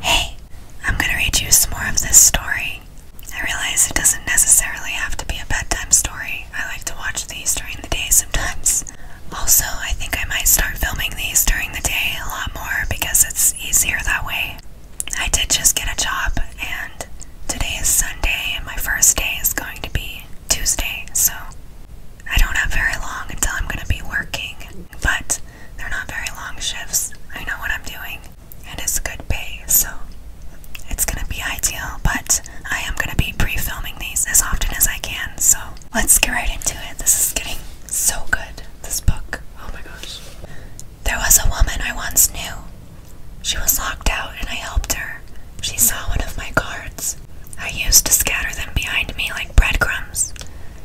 Hey, I'm gonna read you some more of this story. I realize it doesn't necessarily have to be a bedtime story. I like to watch these during the day sometimes. Also, I think I might start filming these during the day a lot more because it's easier that way. I did just get a job, and today is Sunday, and my first day is going to be Tuesday, so I don't have very long until I'm gonna be working, but they're not very long shifts. I know what I'm doing, and it's good pay, so it's gonna be ideal. But I am gonna be pre filming these as often as I can, so let's get right into it. This is getting so good, this book. Oh my gosh. There was a woman I once knew. She was locked out, and I helped her. She saw one of my cards. I used to scatter them behind me like breadcrumbs.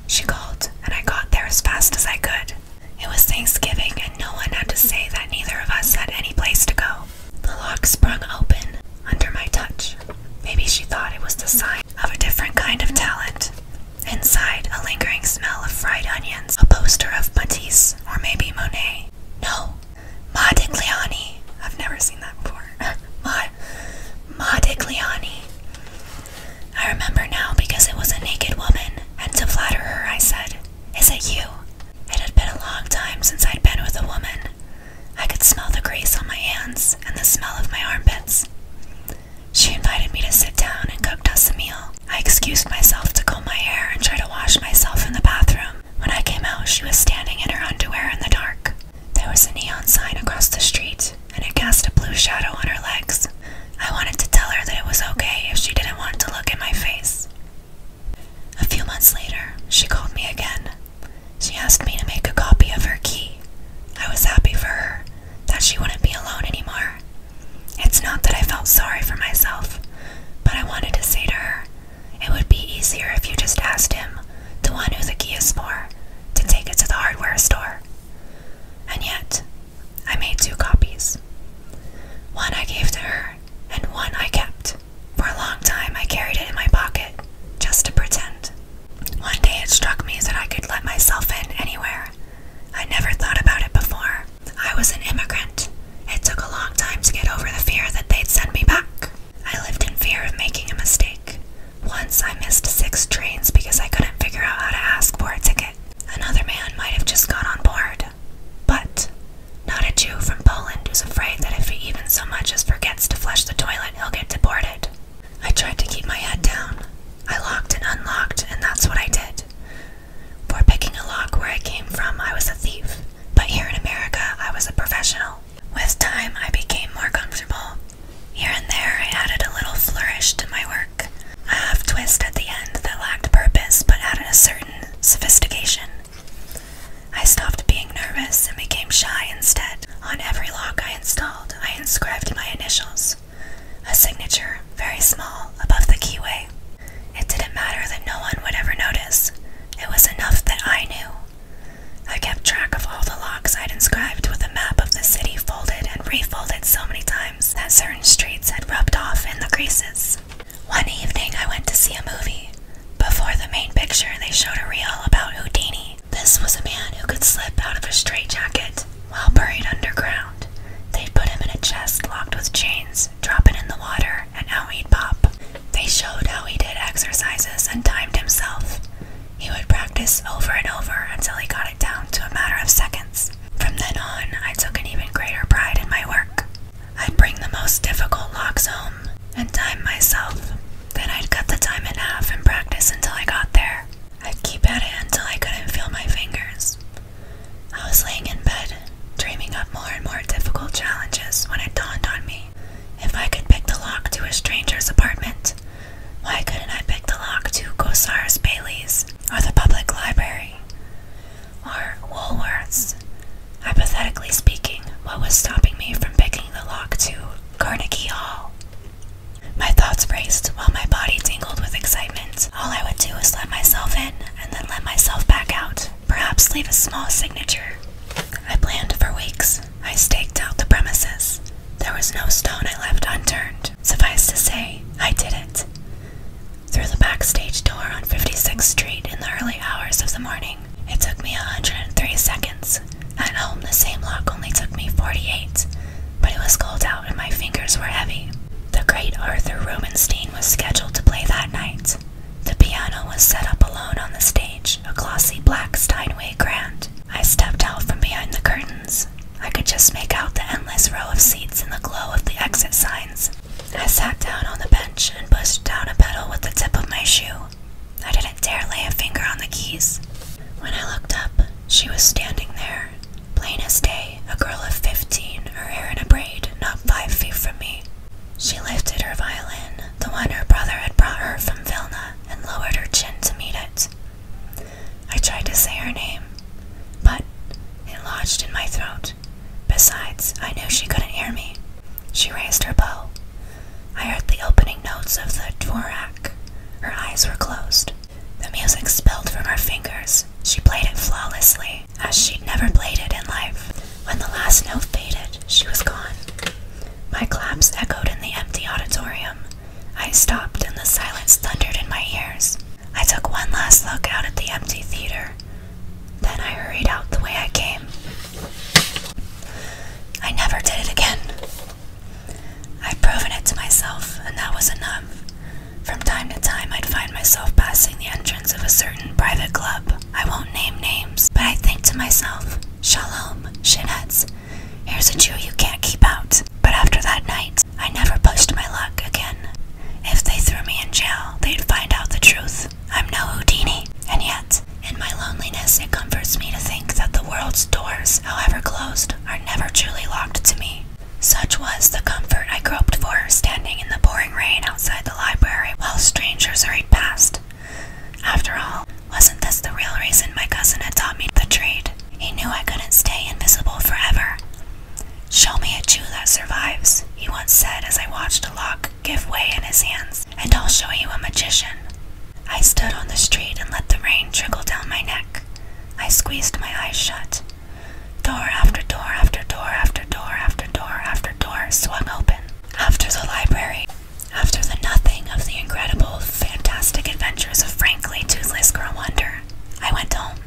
She called, and I got there as fast as I could. It was Thanksgiving, and no one had to say that neither of us had any place to go. The lock sprung open under my touch. Maybe she thought it was the sign of a different kind of talent. Inside, a lingering smell of fried onions, a poster of Matisse, or maybe Monet. No, Modigliani. I've never seen that before. Ma, Modigliani. I remember now because it was a naked woman, and to flatter her, I said, Is it you? It had been a long time since I'd been with a woman. I could smell the grease on my hands and the smell of my armpits. She invited me to sit down and cooked us a meal. I excused myself to comb my hair and try to wash myself in the bathroom. When I came out, she was standing in her underwear in the dark. There was a neon sign across the street and it cast a blue shadow on her legs. I wanted to tell her that it was okay if she didn't want to look in my face. A few months later, she called me again. She asked me to make a copy of her key. I was happy for her that she wouldn't be alone anymore. It's not that I felt sorry for myself, but I wanted to say to her, it would be easier if you just asked him, the one who the key is for, to take it to the hardware store. And yet, I made two copies. One I gave to her, and one I kept. For a long time, I carried it in my pocket, just to pretend. One day it struck me that I could let myself in anywhere. I never thought about it before. I was an immigrant. It took a long time to get over the fear that they'd send me back. I lived in fear of making a mistake. Once I missed six trains because I couldn't figure out how to ask for a ticket. Another man might have just got on board, but not a Jew from Poland who's afraid that if he even so much as forgets to flush the toilet, he'll get deported. I tried to keep my head down. I locked and unlocked, and that's what I did. For picking a lock where I came from, I was a thief, but here in America, I was a professional. With time, I became more comfortable. Here and there, I added a little flourish to my work, a half twist at the end that lacked purpose but added a certain sophistication. I stopped being nervous and became shy instead. On every lock I installed, I inscribed my initials, a signature, very small, above the keyway. It didn't matter that no one would ever notice. It was enough that I knew. I kept track of all the locks I'd inscribed with a map of the city folded and refolded so many times that certain streets had rubbed off in the creases. One evening, I went to see a movie. Before the main picture, they showed a reel about Houdini. This was a man who could slip out of a straitjacket while buried underground. They'd put him in a chest locked with chains, drop it in the water, and out he'd pop. They showed how he did exercises and timed himself. He would practice over and over until he got it down to a matter of seconds. From then on, I took an even greater pride in my work. I'd bring the most difficult locks home and time myself. Then I'd cut the time in half and practice until I got there. I'd keep at it until I couldn't feel my fingers. I was laying in bed, dreaming up more and more difficult challenges when it dawned on me. If I could pick the lock to a stranger's apartment, why couldn't I pick the lock to Gosars Bailey's? or the public library, or Woolworths. Hypothetically speaking, what was stopping me from picking the lock to Carnegie Hall? My thoughts raced while my body tingled with excitement. All I would do is let myself in and then let myself back out, perhaps leave a small signature. I planned for weeks. I staked out the premises. There was no stone I left unturned. Suffice to say, I did it. Through the backstage door on 56th Street in the early hours of the morning, it took me 103 seconds. At home, the same lock only took me 48, but it was cold out and my fingers were heavy. The great Arthur Rubinstein was scheduled to play that night. The piano was set up alone on the stage, a glossy black Steinway grand. I stepped out from behind the curtains, I could just make out the endless row of seats in the glow of the exit signs. I sat down on the bench and pushed down a pedal with the tip of my shoe. I didn't dare lay a finger on the keys. When I looked up, she was standing there, plain as day, a girl of fifteen, her hair in a braid, not five feet from me. She lifted her violin, the one her brother had brought her from Vilna, and lowered her chin to meet it. I tried to say her name, but it lodged in my throat. Besides, I knew she couldn't hear me. She raised her bow. I heard the opening notes of the dvorak. Her eyes were closed. The music spilled from her fingers. She played it flawlessly, as she'd never played it in life. When the last note faded, she was gone. My claps echoed in the empty auditorium. I stopped and the silence thundered in my ears. I took one last look out at the empty theater. Then I hurried out the way I came. I never did it again. I'd proven it to myself, and that was enough. From time to time, I'd find myself passing the entrance of a certain private club. I won't name names, but i think to myself, Shalom, shinheads, here's a Jew you can't keep out. But after that night, I never pushed my luck again. If they threw me in jail, they'd find out the truth. I'm no Houdini, and yet, in my loneliness, it comforts me to think that the world's doors, however closed, are never truly locked to me. Such was the comfort I groped for standing in the pouring rain outside the library while strangers hurried past. After all, wasn't this the real reason my cousin had taught me the trade? He knew I couldn't stay invisible forever. Show me a Jew that survives, he once said as I watched a lock give way in his hands, and I'll show you a magician. I stood on the street and let the rain trickle down my neck. I squeezed my eyes shut. Door after door after door after door after door after door swung open. After the library, after the nothing of the incredible, fantastic adventures of Frankly Toothless Girl Wonder, I went home.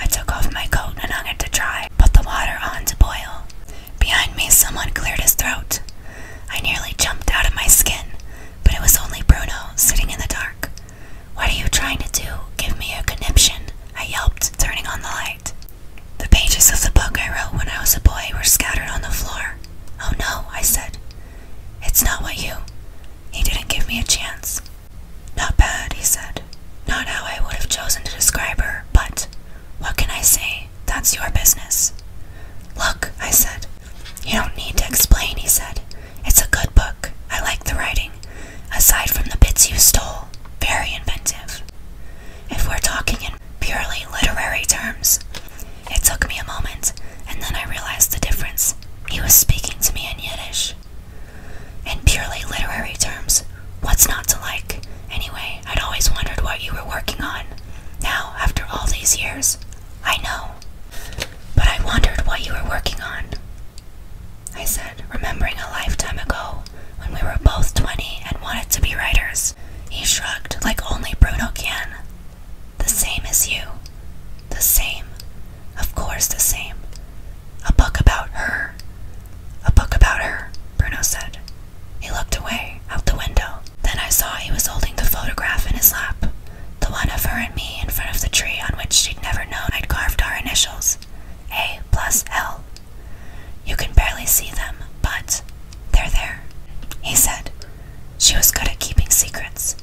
I took off my coat and hung it to dry, put the water on to boil. Behind me, someone cleared his throat. I nearly jumped out of my skin, but it was only Bruno sitting in the dark. What are you trying to do? Give me a conniption, I yelped, turning on the light. The pages of the book I wrote when I was a boy were scattered on the floor. Oh no, I said. It's not what you. He didn't give me a chance. Not bad, he said. Not how I would have chosen to describe her, but what can I say? That's your business. Look, I said. You don't need to explain, he said. It's a good book. I like the writing. Aside from the bits you stole, very inventive. If we're talking in purely literary terms, it took me a moment, and then I realized the difference. He was speaking to me in Yiddish. In purely literary terms, what's not to like? Anyway, I'd always wondered what you were working on. Now, after all these years, I know. But I wondered what you were working on. I said, remembering a lifetime ago when we were both 20 and wanted to be writers. He shrugged like only Bruno can. The same as you. The same. Of course, the same. A book about her. A book about her, Bruno said. He looked away, out the window. Then I saw he was holding the photograph in his lap. The one of her and me in front of the tree on which she'd never known I'd carved our initials A plus L. You can barely see them, but they're there, he said. She was good at keeping secrets.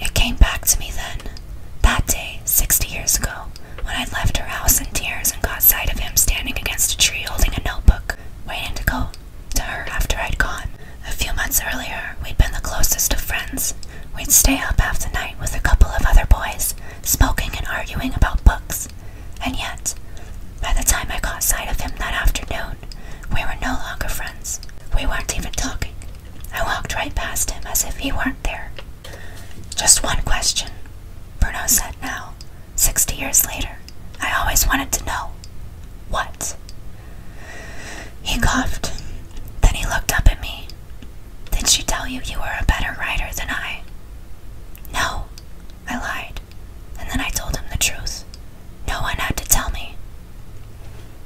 It came back to me then, that day, sixty years ago, when I left her house in tears and caught sight of him standing against a tree holding a notebook, waiting to go to her after I'd gone. A few months earlier, we'd been the closest of friends. We'd stay up half the night with a couple of other boys, smoking and arguing about books. And yet, by the time I caught sight of him that afternoon, we were no longer friends. We weren't even talking. I walked right past him as if he weren't there. Just one question, Bruno said now, sixty years later. I always wanted to know. What? He coughed. Then he looked up at me. Did she tell you you were a better writer than I? No, I lied. And then I told him the truth. No one had to tell me.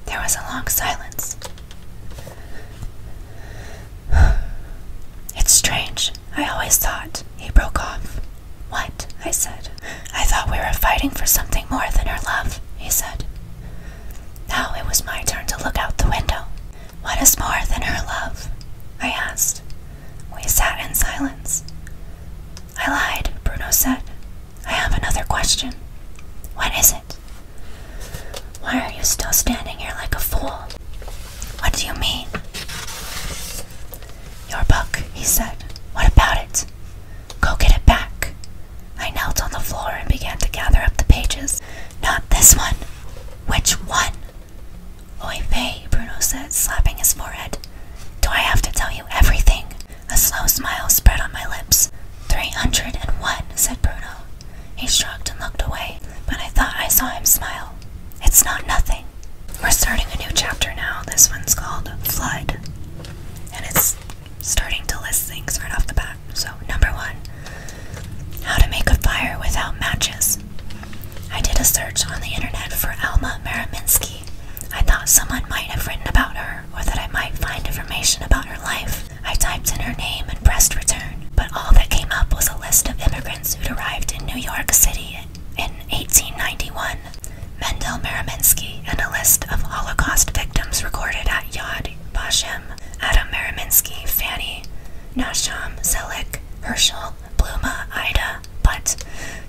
There was a long silence. It's strange. I always thought. He broke off. What? I said. I thought we were fighting for something more than her love, he said. Now it was my turn to look out the window. What is more than her love? I asked. We sat in silence. I lied, Bruno said. I have another question. What is it? Why are you still standing here like a fool? What do you mean? Your book, he said. What about it? Go get it back. I knelt on the floor and began to gather up the pages. Not this one. Which one? Oi, vey, Bruno said, slapping his forehead. Do I have to tell you everything? A slow smile spread on my lips. Three hundred and one, said Bruno. He shrugged and looked away, but I thought I saw him smile. It's not nothing. We're starting a new chapter now. This one's called Flood. And it's starting to list things right off the bat. So, number one, how to make a fire without matches. I did a search on the internet for Alma Mariminsky. I thought someone might have written about her or that I might find information about her life. I typed in her name and pressed return, but all that came up was a list of immigrants who'd arrived in New York City in 1891. Mendel Meriminsky and a list of Holocaust victims recorded at Yad Vashem, Adam Meriminsky, Fanny, Nasham, Zelig, Herschel, Bluma, Ida, but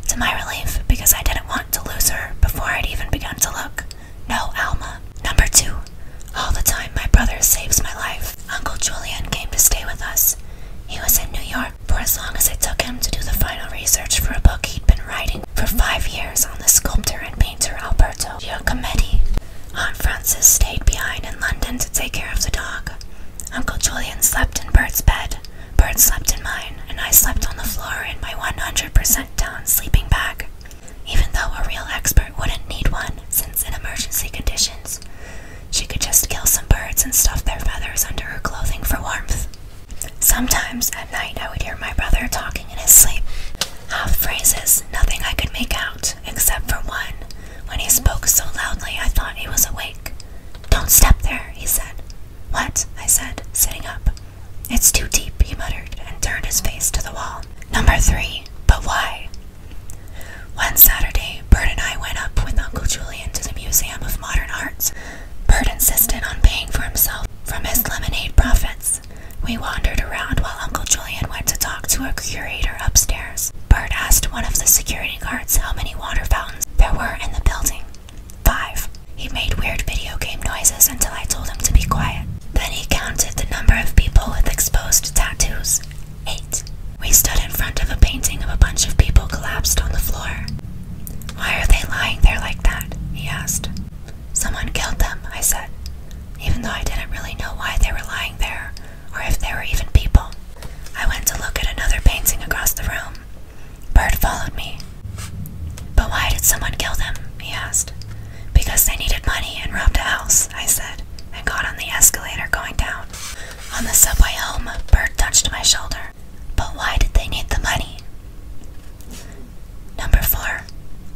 to my relief, because I didn't want to lose her before I'd even begun to look. No, Alma. Number two. All the time, my brother saves my life. Uncle Julian came to stay with us. He was in New York for as long as it took him to do the final research for a book he'd been writing for five years on the sculptor and painter Alberto Giacometti. Aunt Frances stayed behind in London to take care of the dog. Uncle Julian slept in Bert's bed. Bert slept in mine, and I slept on the floor in my 100% down sleeping bag even though a real expert wouldn't need one, since in emergency conditions, she could just kill some birds and stuff their feathers under her clothing for warmth. Sometimes at night I would hear my brother talking in his sleep, half phrases, nothing I could make out, except for one, when he spoke so loudly I thought he was awake. Don't step there, he said. What? I said, sitting up. It's too deep, he muttered, and turned his face to the wall. Number three, but why? One Saturday, Bert and I went up with Uncle Julian to the Museum of Modern Arts. Bert insisted on paying for himself from his lemonade profits. We wandered around while Uncle Julian went to talk to a curator upstairs. Bert asked one of the security guards how many water fountains there were in the building. Five. He made weird video game noises until I told him to be quiet. Then he counted the number of people with exposed tattoos eight. We stood in front of a painting of a bunch of people collapsed on the floor. Why are they lying there like that? he asked. Someone killed them, I said, even though I didn't really know why they were lying there or if they were even people. I went to look at another painting across the room. Bird followed me. But why did someone kill them? he asked. Because they needed money and robbed a house, I said, and got on the escalator going down. On the subway home, Bert touched my shoulder. But why did they need the money? Number 4.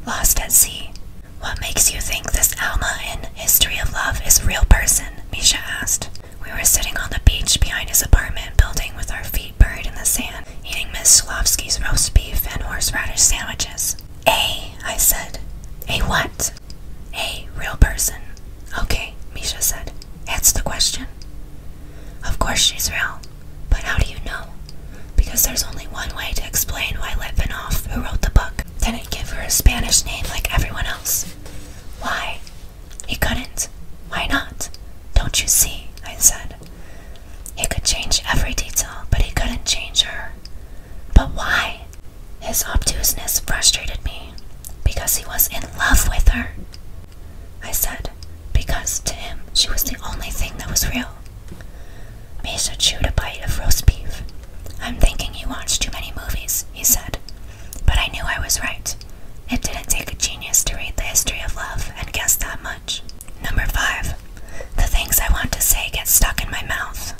Lost at Sea. What makes you think this Alma in History of Love is a real person? Misha asked. We were sitting on the beach behind his apartment building with our feet buried in the sand, eating Miss Slavsky's roast beef and horseradish sandwiches. A, I said. A what? A real person. Okay, Misha said. That's the question. Of course she's real, but how do you know? Because there's only one way to explain why Litvinov, who wrote the book, didn't give her a Spanish name like everyone else. Why? He couldn't. Why not? Don't you see? I said. He could change every detail, but he couldn't change her. But why? His obtuseness frustrated me because he was in love with her. I said, because to him she was the only thing that was real. Misha chewed a bite of roast beef. I'm thinking you watch too many movies, he said. But I knew I was right. It didn't take a genius to read the history of love and guess that much. Number five, the things I want to say get stuck in my mouth.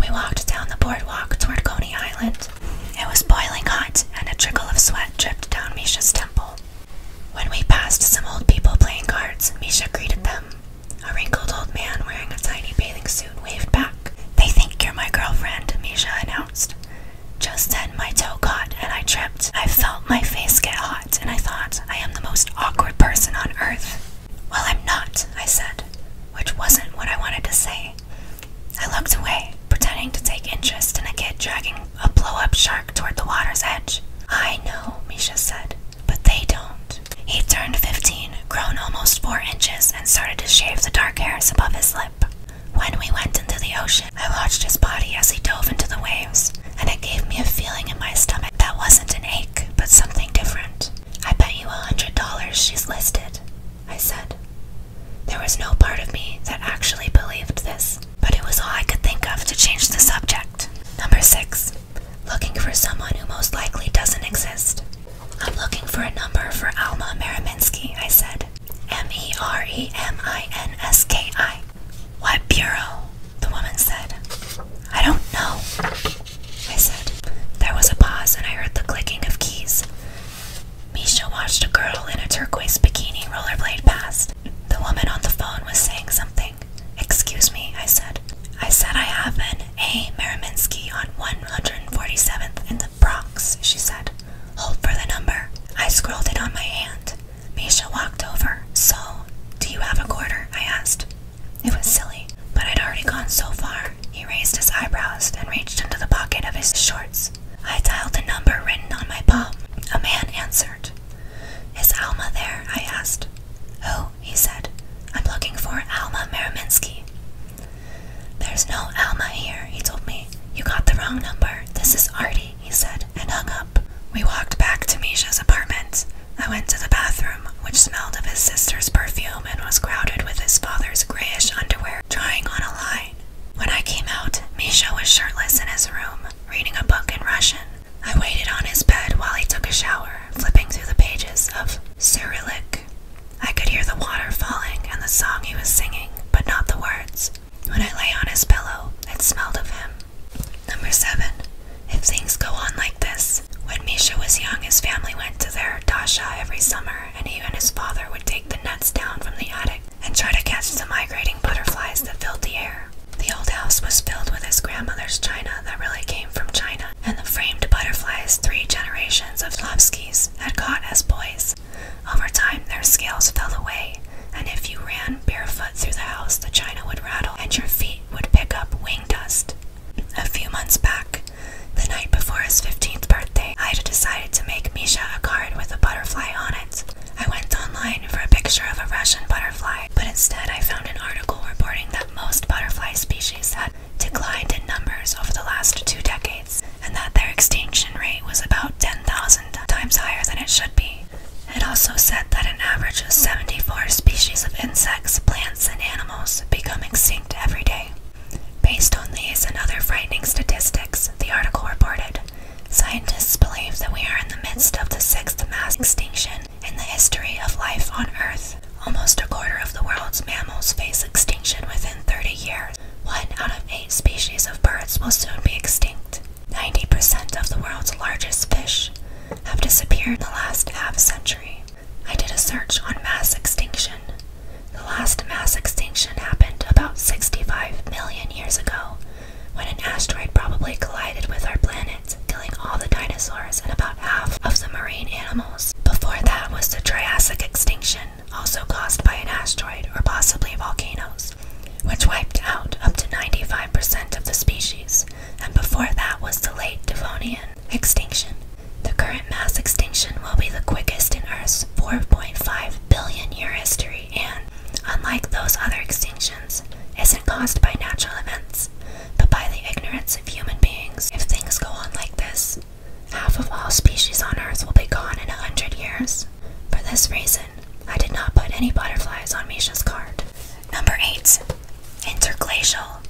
We walked down the boardwalk toward Coney Island. It was boiling hot, and a trickle of sweat dripped down Misha's temple. When we passed some old people playing cards, Misha greeted them. A wrinkled old man wearing a tiny bathing suit waved back. They think you're my girlfriend, Misha announced. Just then my toe caught and I tripped. I felt my face get hot and I thought I am the most awkward person on earth. Well, I'm not, I said, which wasn't what I wanted to say. I looked away, pretending to take interest in a kid dragging a blow up shark toward the water's edge. I know, Misha said, but they don't. He turned 15, grown almost 4 inches, and started to shave the dark hairs above his lip. When we went into the ocean, I watched his body as he dove into the waves, and it gave me a feeling in my stomach that wasn't an ache, but something different. I bet you a hundred dollars she's listed, I said. There was no part of me that actually believed this, but it was all I could think of to change the subject. Number six, looking for someone who most likely doesn't exist. I'm looking for a number for Alma Maraminsky. I said. M E R E M I N S K I. What bureau? The woman said. I don't know. I said. There was a pause, and I heard the clicking of keys. Misha watched a girl in a turquoise bikini rollerblade past. The woman on the phone was saying something. Excuse me, I said. I said I have an A. Meriminsky on 147th in the Bronx, she said. Hold for the number. I scrolled it on my hand. Misha walked over. So, do you have a quarter? I asked. It was silly, but I'd already gone so far. He raised his eyebrows and reached into the pocket of his shorts. I dialed a number written on my palm. A man answered. Is Alma there? I asked. Oh, he said. I'm looking for Alma Meriminsky. There's no Alma here, he told me. You got the wrong number. This is Artie, he said, and hung up. We walked back to Misha's apartment. I went to the bathroom, which smelled of his sister's perfume and was crowded with his father's grayish underwear drying on a line. When I came out, Misha was shirtless in his room, reading a book in Russian. I waited on his bed while he took a shower, flipping through the pages of Cyrillic. I could hear the water falling and the song he was singing, but not the words. When I lay on his pillow, it smelled of him. Number seven. If things go on like this, when Misha was young, his family went to their dacha every summer, and he and his father would take the nuts down from the attic and try to catch the migrating butterflies that filled the air. The old house was filled with his grandmother's china that really came from China, and the framed butterflies three generations of Lopskys had caught as boys. Over time, their scales fell away, and if you ran barefoot through the house, the china would rattle and your feet would pick up wing dust. A few months back, the night before his 15th birthday, I had decided to make Misha a card with a butterfly on it. I went online for a picture of a Russian butterfly, but instead I found an article reporting that most butterfly species had declined in numbers over the last two decades, and that their extinction rate was about 10,000 times higher than it should be. It also said that an average of 74 species of insects, plants, and animals become extinct every day. Based on these and other frightening statistics, the article reported scientists believe that we are in the midst of the sixth mass extinction in the history of life on Earth. Almost a quarter of the world's mammals face extinction within 30 years. One out of eight species of birds will soon be extinct. 90% of the world's largest fish have disappeared in the last half century. I did a search on mass extinction. The last mass extinction happened about 65 million years ago when an asteroid probably collided with our planet, killing all the dinosaurs and about half of the marine animals. Before that was the Triassic extinction, also caused by an asteroid or possibly volcanoes, which wiped out up to 95% of the species, and before that was the late Devonian, Extinction. The current mass extinction will be the quickest in Earth's 4.5 billion year history and, unlike those other extinctions, isn't caused by natural events, but by the ignorance of human beings. If things go on like this, half of all species on Earth will be gone in a hundred years. For this reason, I did not put any butterflies on Misha's card. Number 8. Interglacial.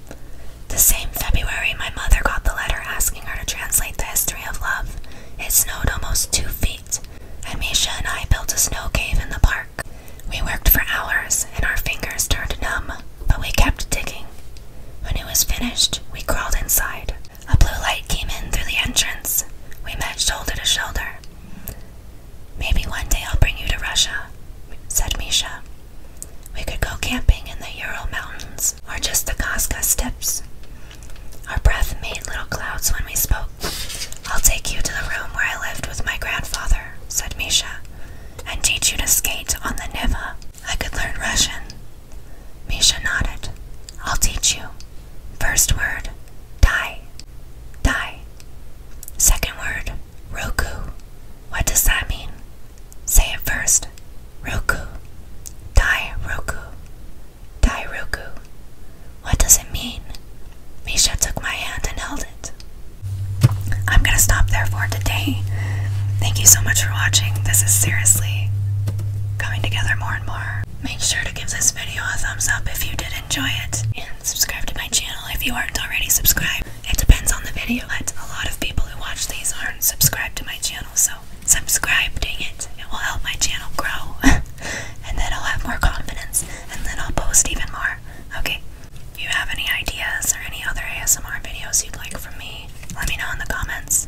The same February, my mother got the letter asking her to translate the history of love. It snowed almost two feet, and Misha and I built a snow cave in the park. We worked for hours, and our fingers turned numb, but we kept digging. When it was finished, we crawled inside. A blue light came in through the entrance. We met shoulder to shoulder. Maybe one day I'll bring you to Russia, said Misha. We could go camping in the Ural Mountains or just the Costco steppes. Our breath made little clouds when we spoke. I'll take you to the room where I lived with my grandfather, said Misha, and teach you to skate on the Neva. I could learn Russian. Misha nodded. I'll teach you. First word, die. Die. Second word, Roku. What does that mean? Say it first. Roku. Dai Roku. Dai Roku. What does it mean? Misha took my hand and held it. I'm gonna stop there for today. Thank you so much for watching. This is seriously coming together more and more. Make sure to give this video a thumbs up if you did enjoy it, and subscribe to my channel if you aren't already subscribed. It depends on the video. But a lot of people who watch these aren't subscribed to my channel, so subscribe, dang it. It will help my channel grow. and then I'll have more confidence, and then I'll post even more. Okay. If you have any ideas or any other ASMR videos you'd like from me, let me know in the comments.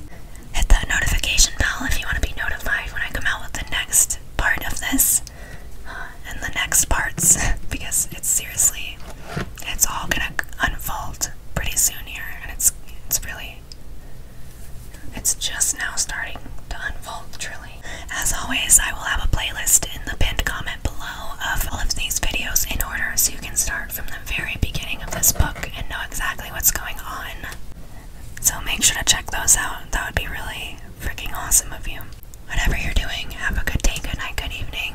Hit that notification bell if you want to be notified when I come out with the next part of this uh, and the next parts because it's seriously it's all gonna unfold pretty soon here, and it's it's really it's just now starting to unfold truly. As always, I will have a playlist in the pinned comment below of all of these videos in order so you can start from the very beginning of this book and know exactly what's going on. So make sure to check those out. That would be really freaking awesome of you. Whatever you're doing, have a good day, good night, good evening.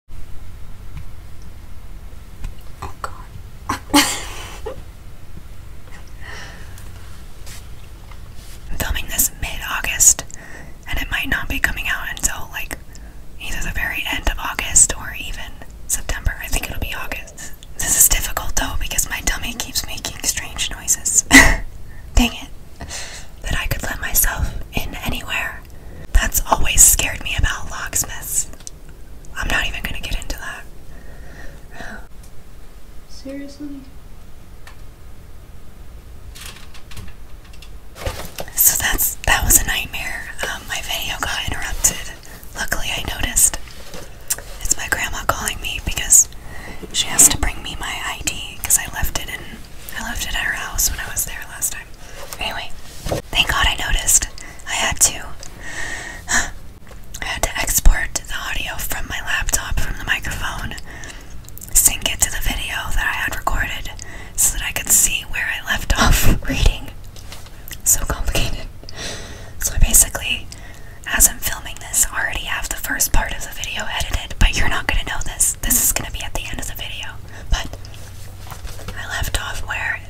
Oh god. I'm filming this mid-August and it might not be coming out until like either the very end of August or even September. I think it'll be August. This is difficult though because my tummy keeps making strange noises. Dang it. That I could let myself in anywhere. That's always scared me about locksmiths. I'm not even gonna get into that. Seriously? So that's that was a nightmare. Um, my video got interrupted. Luckily, I noticed. It's my grandma calling me because she has to bring me my ID because I left it in I left it at her house when I was there last Anyway, thank God I noticed. I had to. I had to export the audio from my laptop, from the microphone, sync it to the video that I had recorded so that I could see where I left off reading. So complicated. So I basically, as I'm filming this, already have the first part of the video edited, but you're not gonna know this. This is gonna be at the end of the video. But I left off where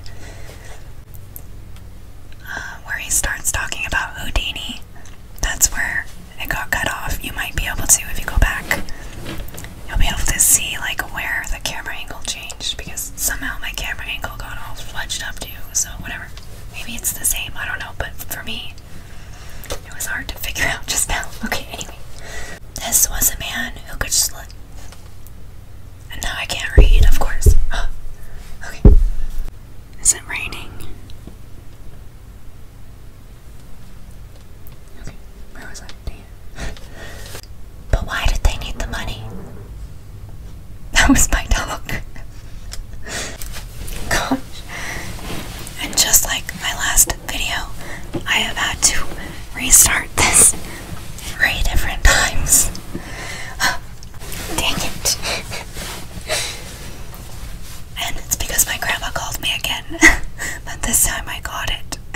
where he starts talking about Houdini. That's where it got cut off. You might be able to, if you go back, you'll be able to see like where the camera angle changed because somehow my camera angle got all fudged up too. So whatever, maybe it's the same. I don't know, but for me, it was hard to figure out just now. Okay, anyway, this was a man who could sl and now I can't read, of course. okay. Is it raining? Okay, where was I? but why did they need the money? That was my dog. Gosh. And just like my last video, I have had to restart this three different times. dang it. And it's because my grandma called me again. but this time I got it.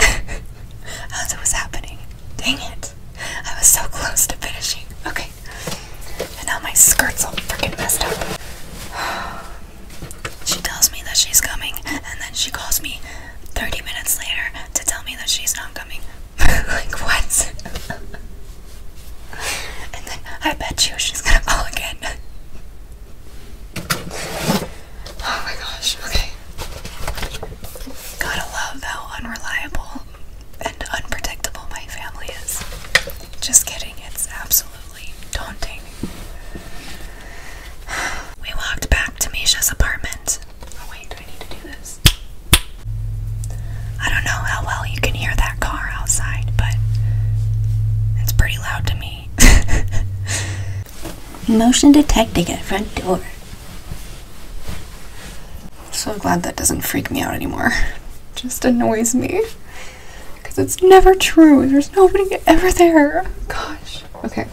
As it was happening. Dang it. I was so close to finishing. Okay. And now my skirt's all freaking messed up. She tells me that she's coming, and then she calls me 30 minutes later to tell me that she's not coming. like what? and then I bet you she's gonna call again. oh my gosh, okay. Gotta love how unreliable and unpredictable my family is. Just kidding, it's absolutely daunting. We walked back to Misha's apartment. Oh wait, do I need to do this? I don't know how well you can hear that car outside, but it's pretty loud to me. Motion detecting at front door. So glad that doesn't freak me out anymore. Just annoys me. Because it's never true. There's nobody ever there. Gosh. Okay.